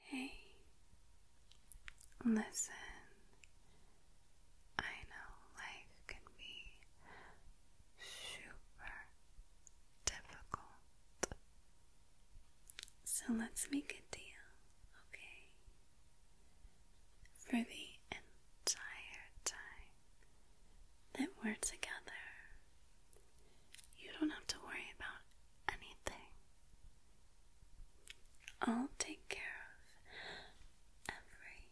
Hey, listen. I know life can be super difficult. So let's make a deal, okay? For the entire time that we're together, you don't have to worry about anything. I'll take care of every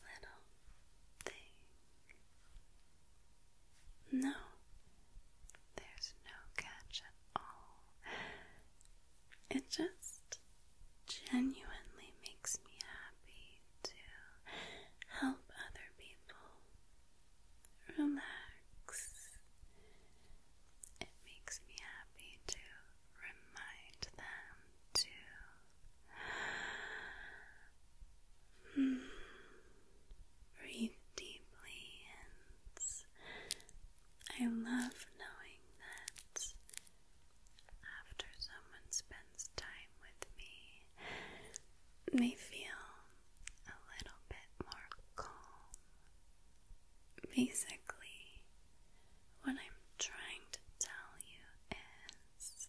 little thing. No, there's no catch at all. It just genuinely makes me happy to help other people relax. It makes me happy to remind them to breathe deeply, and I love knowing that after someone spends time with me, they feel a little bit more calm basically, what I'm trying to tell you is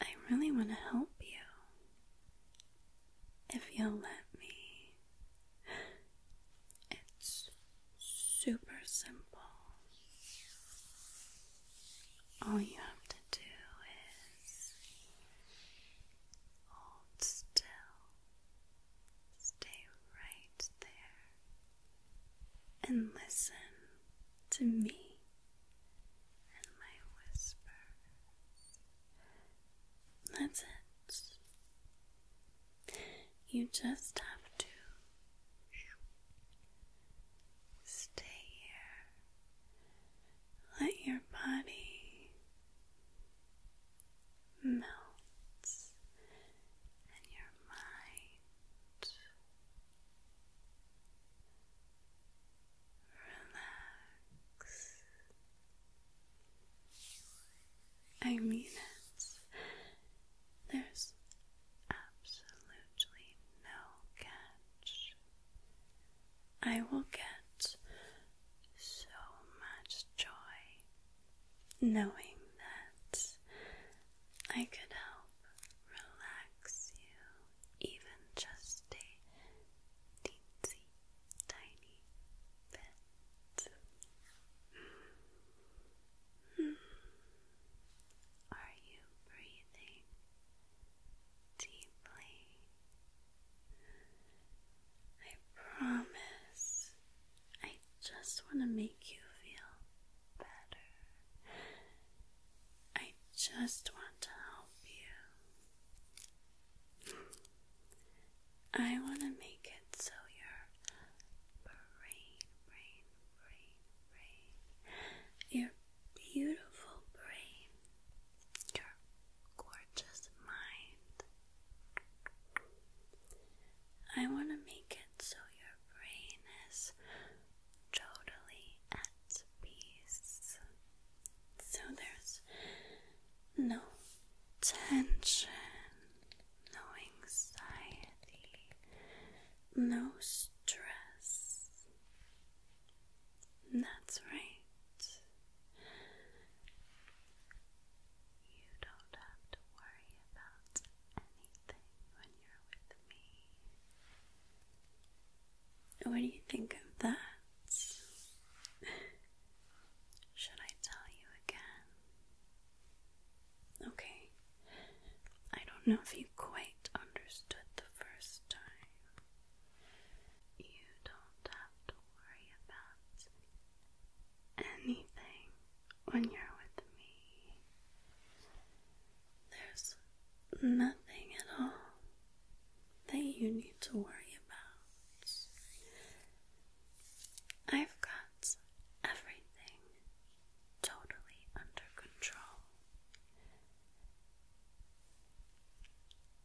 I really want to help you if you'll let me. It's super simple. All you have to do is Hold still. Stay right there and listen to me and my whispers. That's it. You just have to stay here. Let your body melts and your mind relax. I mean it. There's absolutely no catch I will get so much joy knowing that I could help relax you even just a teensy tiny bit. Hmm. Are you breathing deeply? I promise. I just want to make you feel better. I just want to help you. I want to make it so your brain, your beautiful brain your gorgeous mind. I want to make it so your brain is totally at peace. So there's no tension, no anxiety, no stress. That's right. You don't have to worry about anything when you're with me. What do you think of that? Should I tell you again? Okay. I don't know if you quite understood the first time. You don't have to worry about anything when you're with me. There's nothing at all that you need to worry about. I've got everything totally under control.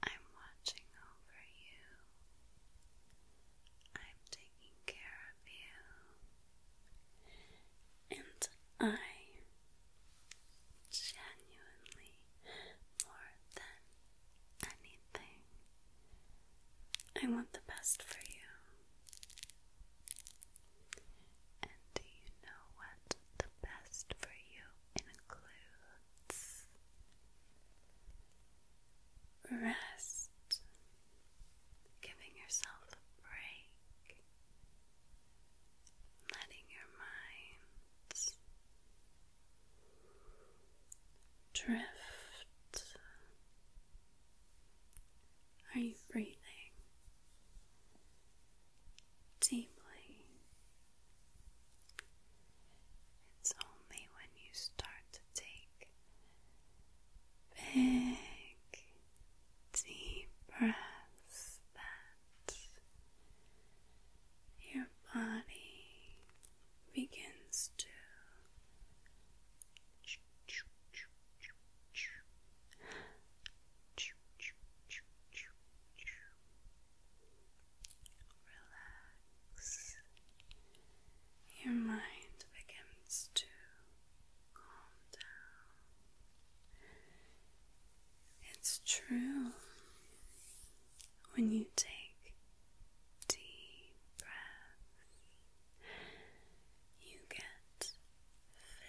I'm watching over you. I'm taking care of you. And I genuinely, more than anything, I want the best for you. And do you know what the best for you includes? rest, giving yourself a break, letting your minds drift. Are you breathing deeply? It's only when you start to take big, deep breaths that your body begins to. Relax. Your mind begins to calm down. It's true. When you take deep breaths, you get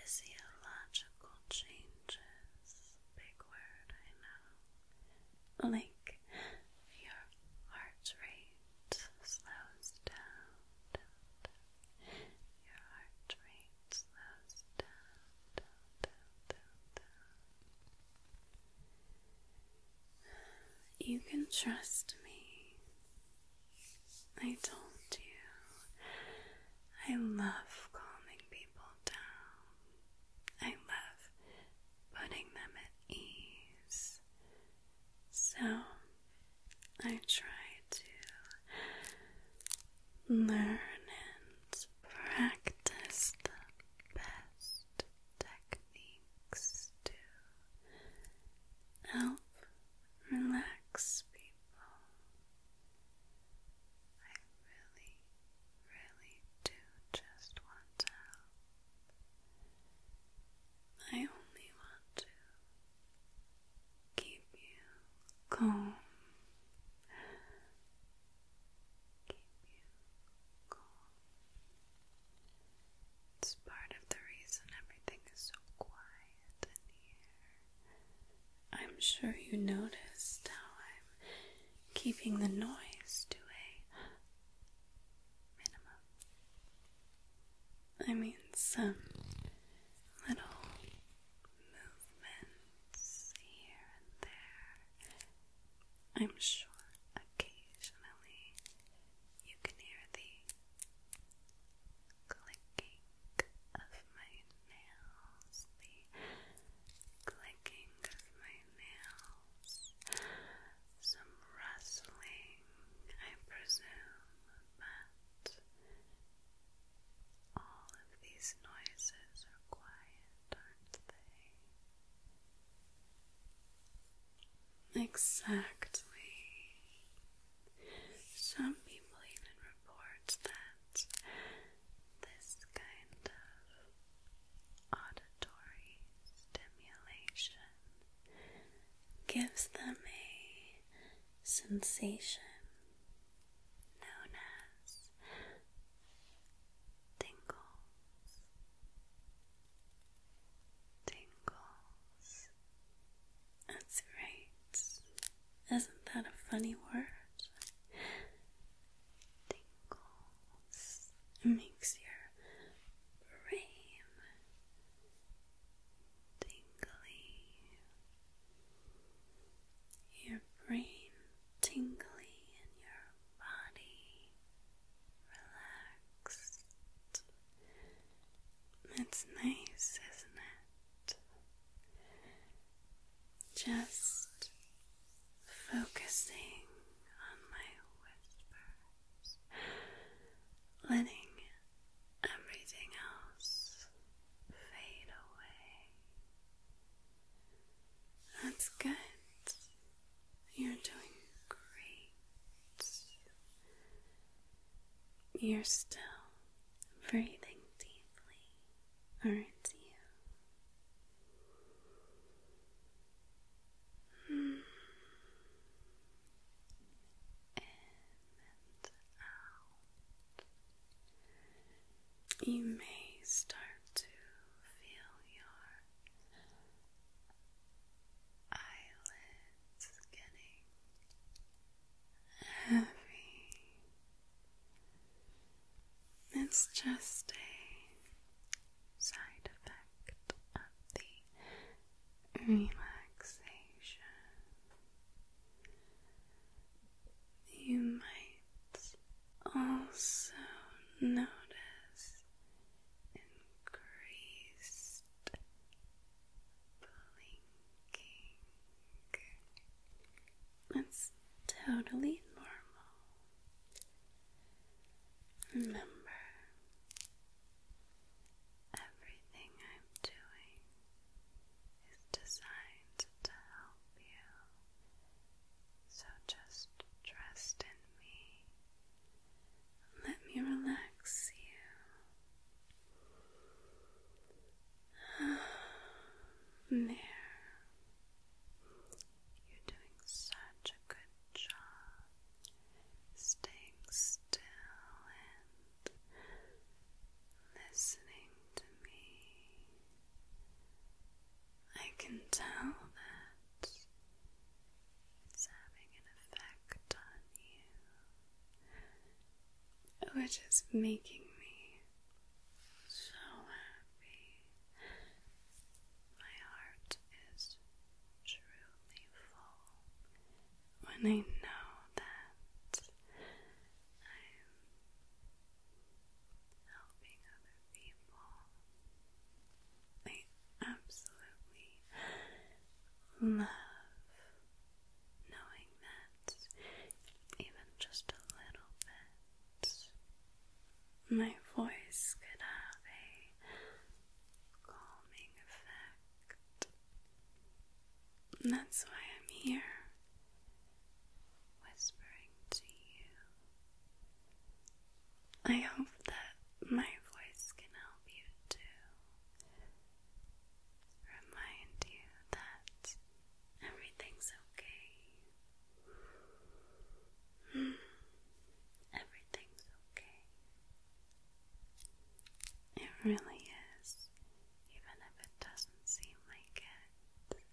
physiological changes big word, I know. Like your heart rate slows down. Your heart rate slows down. You can trust me. I told you. I love calming people down. I love putting them at ease. So I try to learn and practice the best techniques to help relax people. I really really do just want to I only want to keep you calm. Keep you calm. It's part of the reason everything is so quiet in here. I'm sure you noticed how I'm keeping the noise to a I mean, some little movements here and there. I'm sure occasionally you can hear the clicking of my nails, the clicking of my nails some rustling, I presume, but all of these noises are quiet, aren't they? Exactly. Some people even report that this kind of auditory stimulation gives them a sensation known as tingles. Tingles. That's right. Isn't that a funny word? Tingles. It makes your brain tingly. Your brain tingly and your body relaxed. It's nice, isn't it? Just focusing on my whispers, letting everything else fade away. That's good. You're doing great. You're still breathing deeply, aren't you? in and out. You may start to feel your eyelids getting heavy. It's just a side effect of the relaxation. You might also notice increased blinking. It's totally normal. Remember, everything I'm doing is designed to help you, so just trust in me. Let me relax you. There. You're doing such good job staying still and listening to me. I can tell that it's having an effect on you, which is making me so happy. My heart is truly full when I know that I'm helping other people. I absolutely love knowing that even just a little bit my voice could have a calming effect. that's why I'm here, whispering to you. I hope that my voice can help you too. Remind you that everything's okay. Everything's okay. It really is, even if it doesn't seem like it.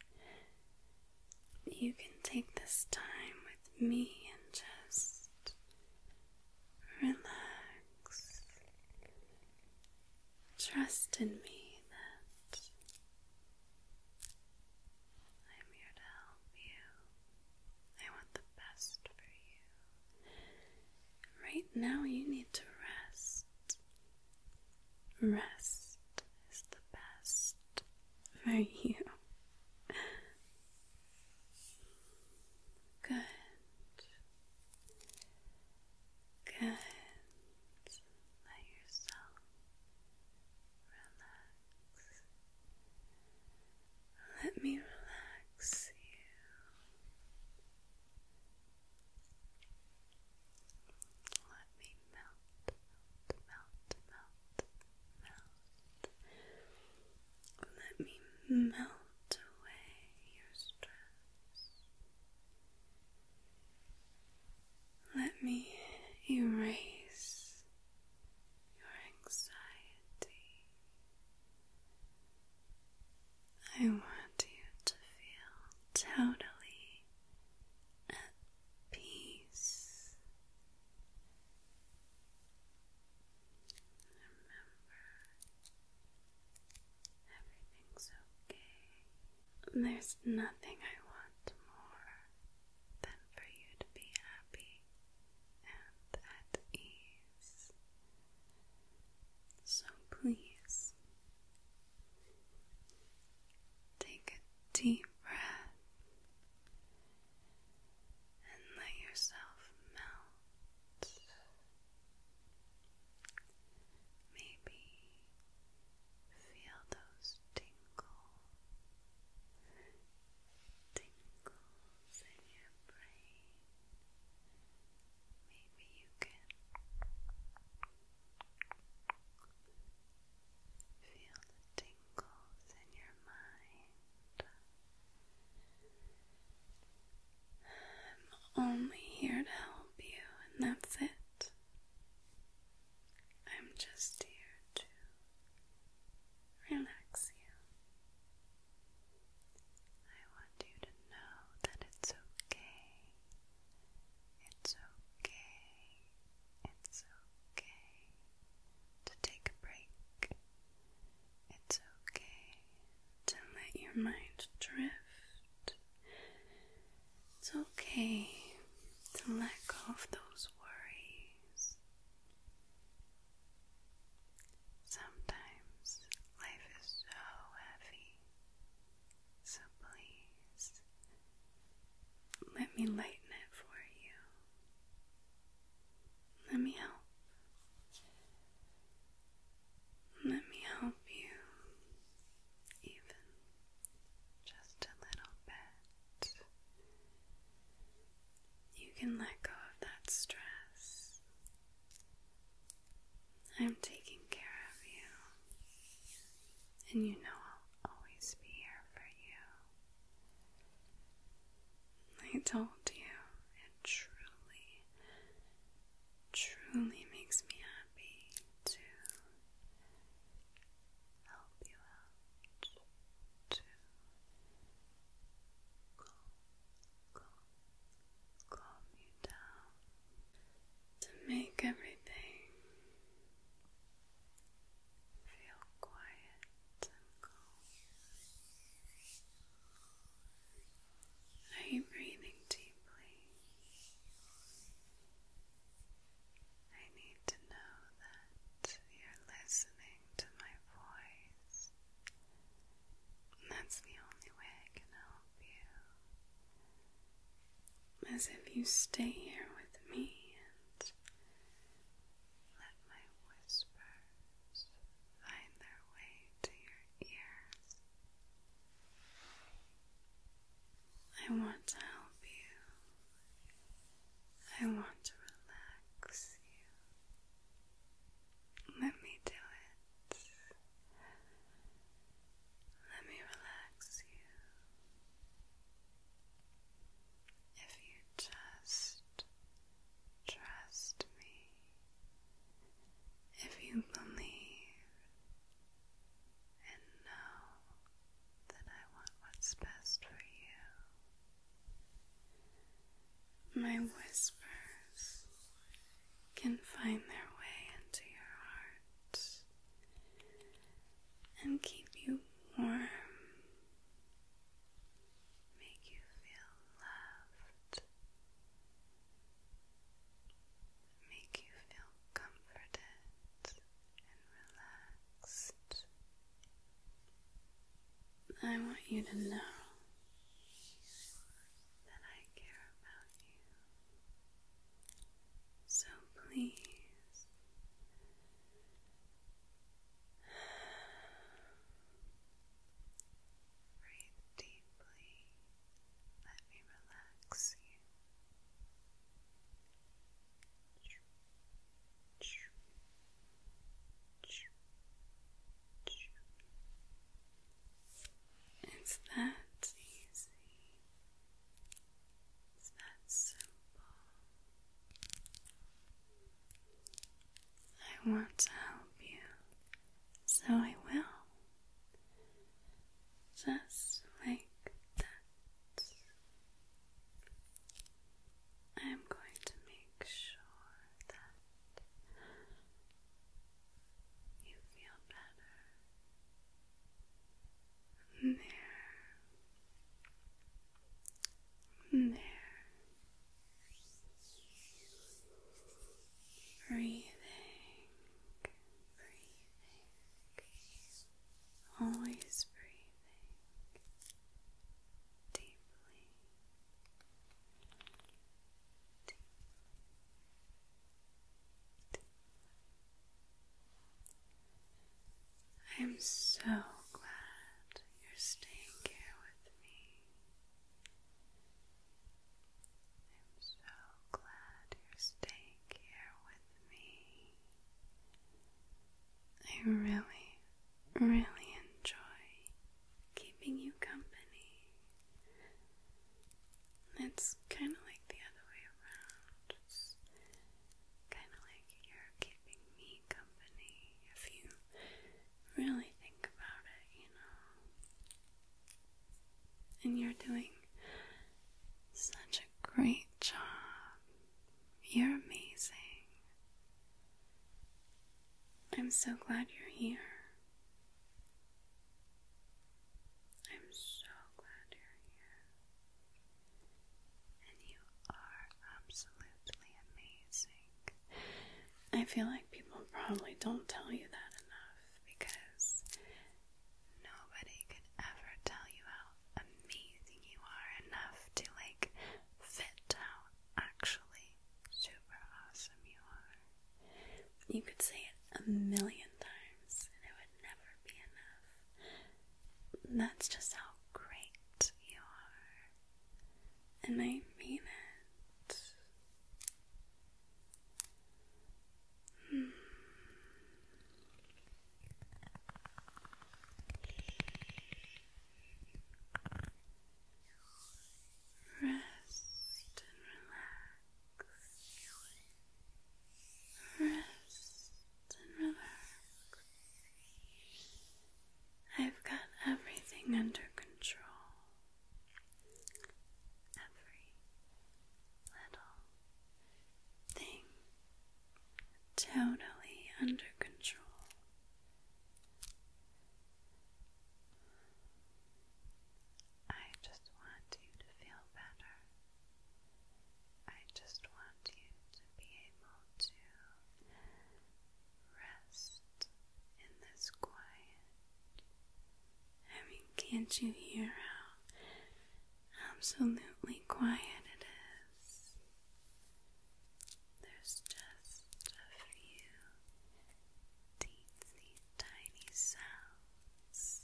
You can take this time with me and just relax. Trust in me that I'm here to help you. I want the best for you. Right now, you need to rest. Rest is the best for you. Good. Good. Let yourself relax. Let me relax you. Let me melt, melt, melt, melt, melt. Let me melt away your stress. Let me erase your anxiety. I want you to feel totally at peace. Remember, everything's okay. There's nothing I want more than for you to be happy and at ease. So please take a deep breath and let yourself melt. Maybe feel those tingles tingles in your brain. Maybe you can feel the tingles in your mind. I'm only here to help you, and that's it. I'm just here to relax you. I want you to know that it's okay. It's okay. It's okay to take a break. It's okay to let your mind drift. It's okay to let go of those worries. Sometimes life is so heavy, so please let me lighten it for you. Let me help. Let me help you, even just a little bit. You can let go of that stress. I'm taking care of you, and you know I'll always be here for you. I told you, it truly, truly makes me happy to help you out to calm, calm, calm you down, to make everything feel quiet and calm. Are you breathing deeply? I need to know that you're listening to my voice. That's the only way I can help you. As if you stay here with me and let my whispers find their way to your ears. I want to help you I want to relax you. Let me do it. Let me relax you. If you just trust me, if you believe and know then I want what's best for you. My whispers can find their way into your heart and keep you warm, make you feel loved, make you feel comforted and relaxed. I want you to know that I care about you. So please breathe deeply. Let me relax you. It's that easy. It's that simple. I want to help you, so I will. Just like that. I'm going to make sure that you feel better. There. There. Breathing, breathing, always breathe deeply. I am so glad you're staying here with me. I'm so glad you're staying here with me. I really, really enjoy keeping you company. It's kind of like the other way around. kind of like you're keeping me company if you really think about it, you know. And you're doing such a great job you're amazing. I'm so glad you're here. I'm so glad you're here. And you are absolutely amazing. I feel like people probably don't tell you that enough because nobody could ever tell you how amazing you are enough to like fit how actually super awesome you are. You could say it a million times and it would never be enough. That's just how great you are. And I mean it. Hmm. Rest and relax. Rest and relax. I've got everything under control. Every little thing totally under control. I just want you to feel better. I just want you to be able to rest in this quiet. I mean, can't you hear how absolutely quiet it is? There's just a few teensy tiny sounds.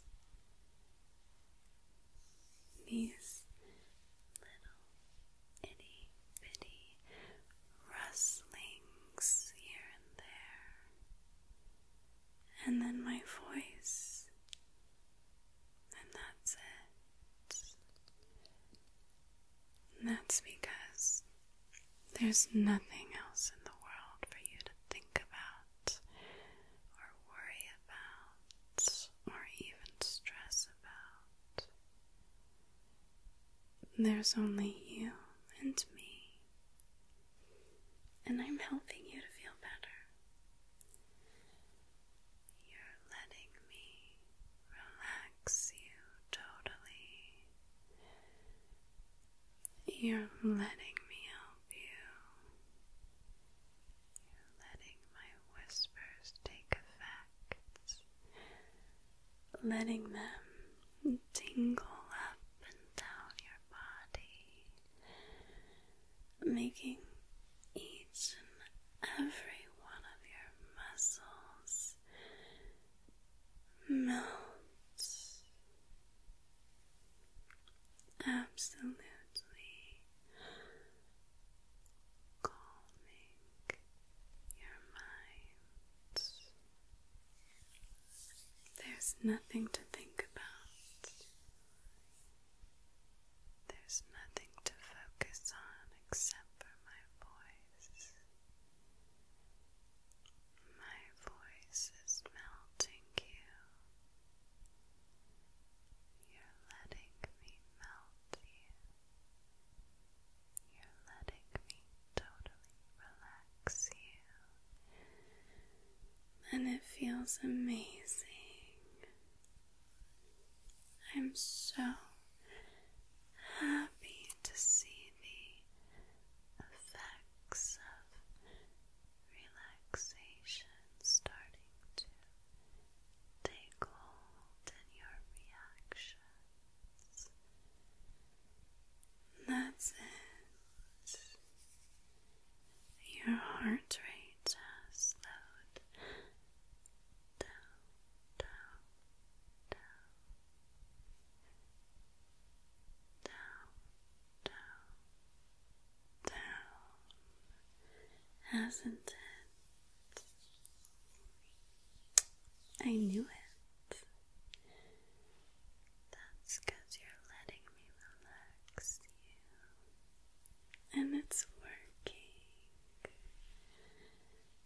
These little itty rustlings here and there. And then my voice and that's it. And that's because there's nothing else in the world for you to think about, or worry about, or even stress about. There's only you and me. And I'm helping you to feel better. You're letting me relax you totally. You're letting me help you. You're letting my whispers take effect, letting them tingle up and down your body making each and every one of your muscles melt absolutely calming your mind. There's nothing to think about. There's nothing to focus on except for my voice. My voice is melting you. You're letting me melt you. You're letting me totally relax you. And it feels amazing. I'm so happy to see the effects of relaxation starting to take hold in your reactions. That's it. Your heart rate has slowed down, down, down, down, down, down, hasn't it? I knew it. That's because you're letting me relax And it's working.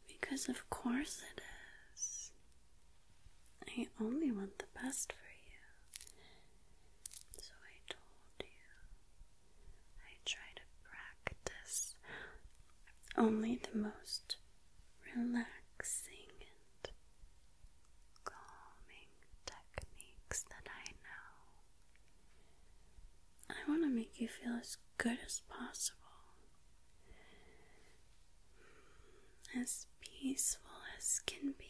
Because, of course, it is. I only want the best for you. So I told you I try to practice only the most relaxing and calming techniques that I know. I want to make you feel as good as possible, as peaceful as can be.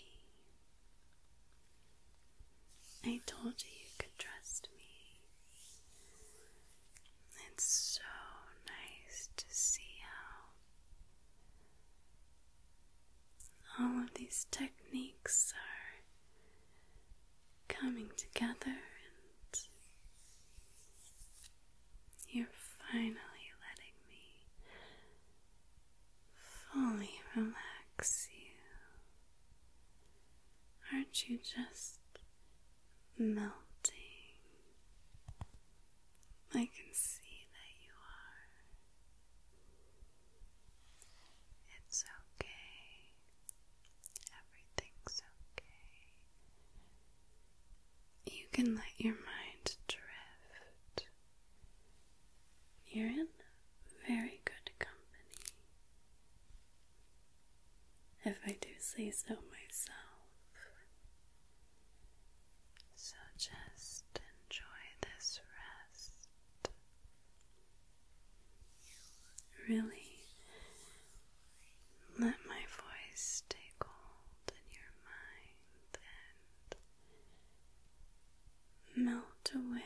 I told you you could trust me. It's so nice to see how all of these techniques are coming together, and you're finally letting me fully relax you. Aren't you just melting? I can see that you are. It's okay. Everything's okay. You can let your mind drift. You're in very good company. If I do say so myself. So just enjoy this rest. Really let my voice take hold in your mind and melt away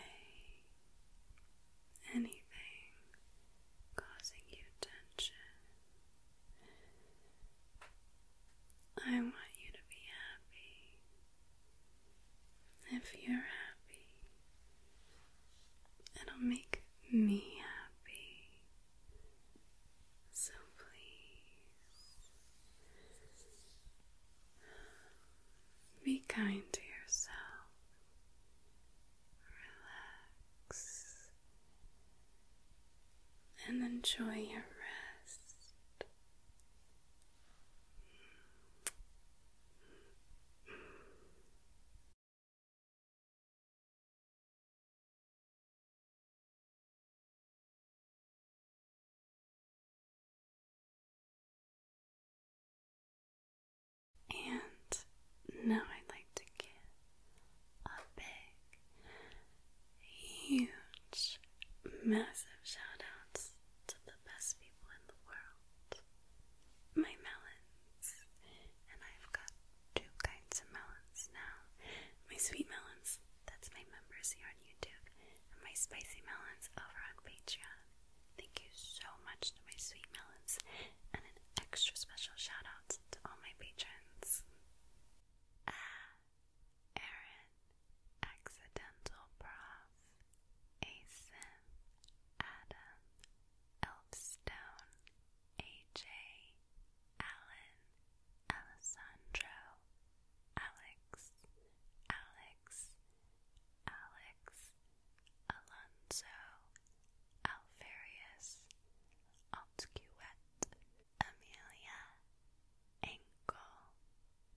anything causing you tension. I want you to be happy. If you're happy, It'll make me happy. So please be kind to yourself. Relax and enjoy your rest. And now I'd like to give a big, huge, massive shout outs to the best people in the world my melons, and I've got two kinds of melons now. My sweet melons, that's my members here on YouTube, and my spicy melons over on Patreon. Thank you so much to my sweet melons, and an extra special shout out to all my patrons. Ah, Aaron, Accidental Prof, Asim, Adam, Elfstone, AJ, Alan, Alessandro, Alex, Alex, Alex, Alonso, Alfarius, Altquet, Amelia, Ankle,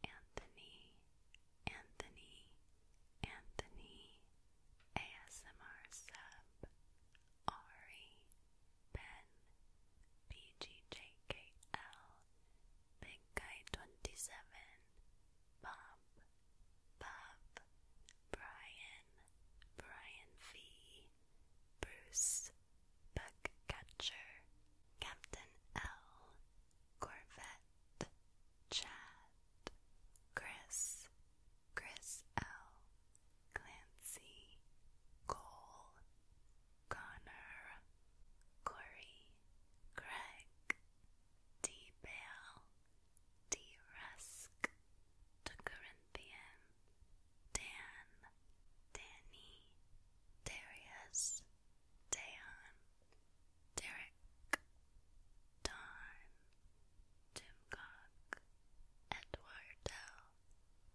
Anthony, Anthony Anthony ASMR Sub Ari Ben BGJKL Big Guy twenty seven Bob Bob Brian Brian V Bruce Buckcatcher Captain L Corvette Chad, Chris, Chris L, Clancy, Cole, Connor, Corey, Greg, D Bale, D Rusk, the Corinthian, Dan, Danny, Darius, Dayon, Derek, Don, Jim Cock,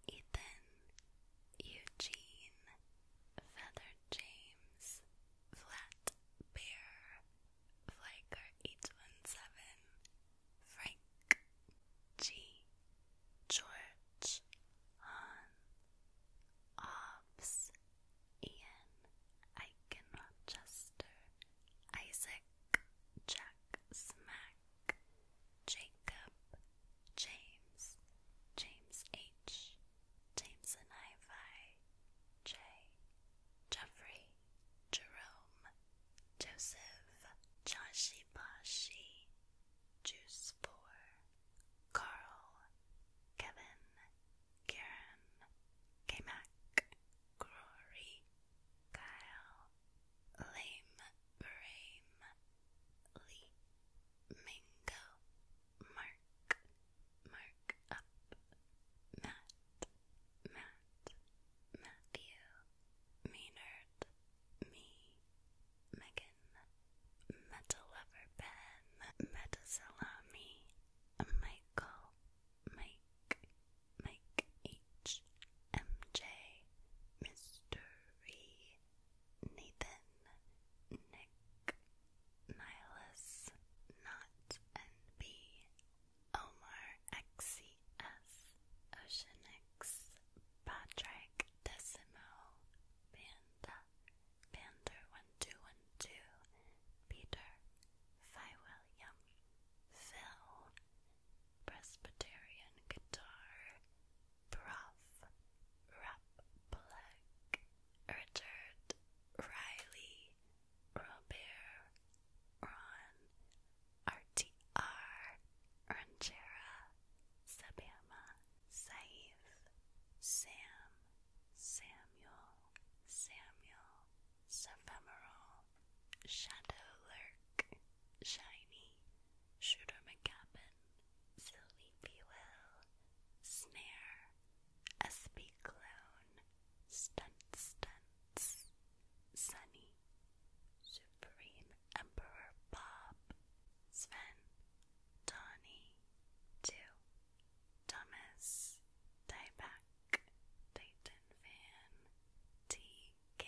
Ethan, Eugene, Feather James, Flat Bear, Flaker 817, Frank, G, George, Han, Ops, Ian, Aiken Rochester, Isaac, Jack Smack, Jacob, James, James H, James and Ivy, J, Jeffrey, Jerome, Joseph, Joshi Bashi, Juice 4, Carl, Kevin, Kieran, K-Mac, Glory, Kyle, Lame, Brame, Lee, Mingo, Mark, Mark Matt, Matt, Matthew, Maynard, Me, Megan, Meta Lover Ben, Meta Salami, Michael, Mike, Mike H, MJ, Mystery, Nathan, Nick, Nihilus, Not NB, Omar XCS, Oceanix, Patrick, Decimo, Panda, Pander 1212 Peter, Phi William, Phil, Presbyterian Guitar, Prof, Rap Black, Richard, Riley, Robert, Ron, RTR, Ranchera, Sabama, Saif, Sam, Samuel, Samuel, Sephemeral, Shadow Lurk, Shiny, Shooter McGavin, Sleepy Will, Snare, SB Clone, Stunt Stunts, Sunny, Supreme Emperor Bob, Sven, Donnie, Two, Thomas, Dieback, Titan TK,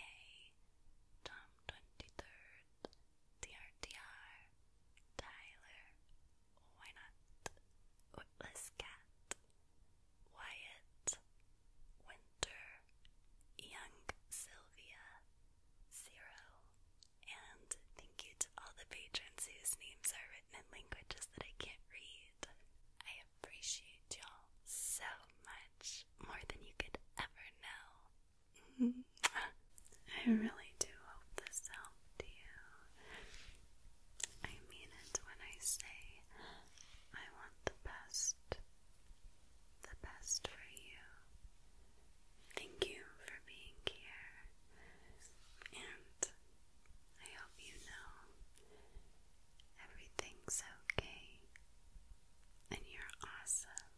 Tom23rd, DRDR, Tyler, Why Not, Witless Wyatt, Winter, Young Sylvia, Zero, and thank you to all the patrons whose names are written in languages that I can't read. I appreciate y'all so much, more than you could ever know. I really do hope this helped you. I mean it when I say I want the best, the best for you. Thank you for being here, and I hope you know everything's okay and you're awesome.